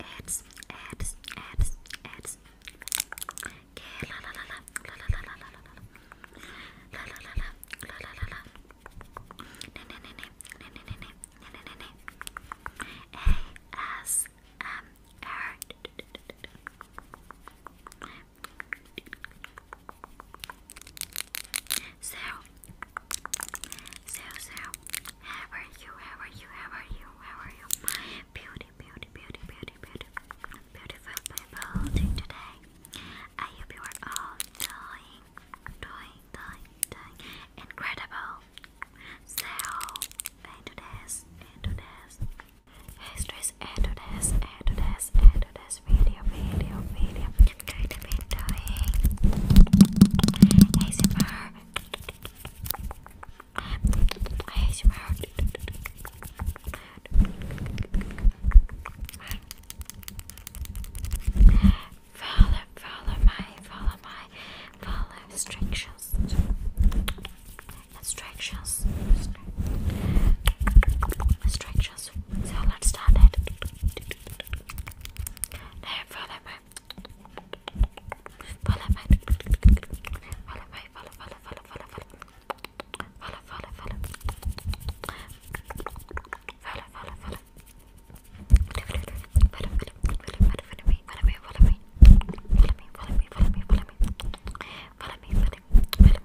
Ads, ads, ads, ads. Okay, la la la la, la la la la la la, la la la la, la la la la. Ne ne ne ne, ne ne ne ne, ne ne ne ne. A S M R. So, so, so, how are you? How are you? How are you? How are you? beauty, beauty, beauty, beauty, beauty, beautiful people today. I hope you are all doing, doing, doing, doing incredible. So, into this, into this, histories, into this video, video, video I'm going to be doing ASMR ASMR Follow, follow my, follow my, follow instructions Instructions Instructions instructions. So let's start it. Now follow me. Follow me. Follow me. Follow, follow, follow, follow, follow. Follow, follow, follow. Follow, follow, follow. Follow, follow, follow, follow, follow me, follow me, follow me. Follow me, follow me, follow me, follow me. Follow me, follow me, follow me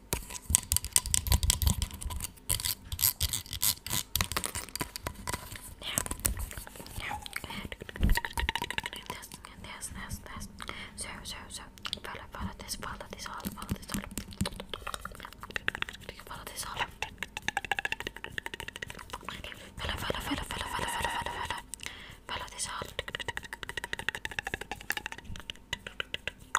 now, this, this, this, this. So, so, so. Follow, follow this, follow this all, follow this all. Follow this all. Follow, follow, follow, follow, follow, follow, follow, follow. Follow this all.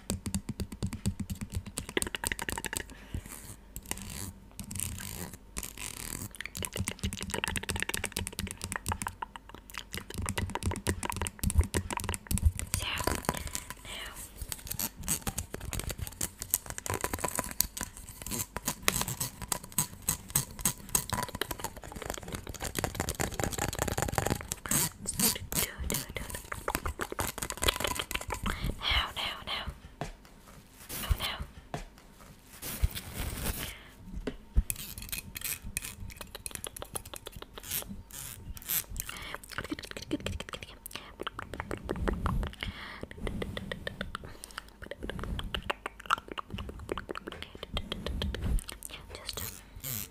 So now do do do do no, no, no. Oh no. Just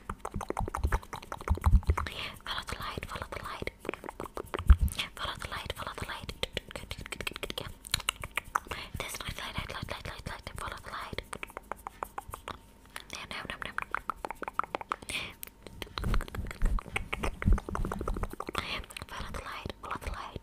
Follow the light, follow the light. Follow the light, follow the light. Good, good, good, good, good, yeah. This light, light, light, light, light, light, light. Follow the light. No, no, no, no. Follow the light, follow the light.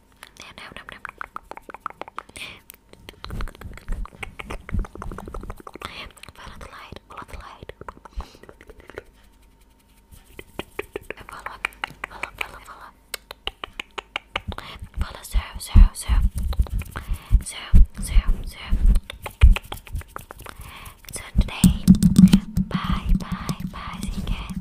Follow the light, follow the light. Follow, follow, follow, follow. Follow zero, zero, zero. Zero, zero, zero. So today, bye, bye, bye, see you again.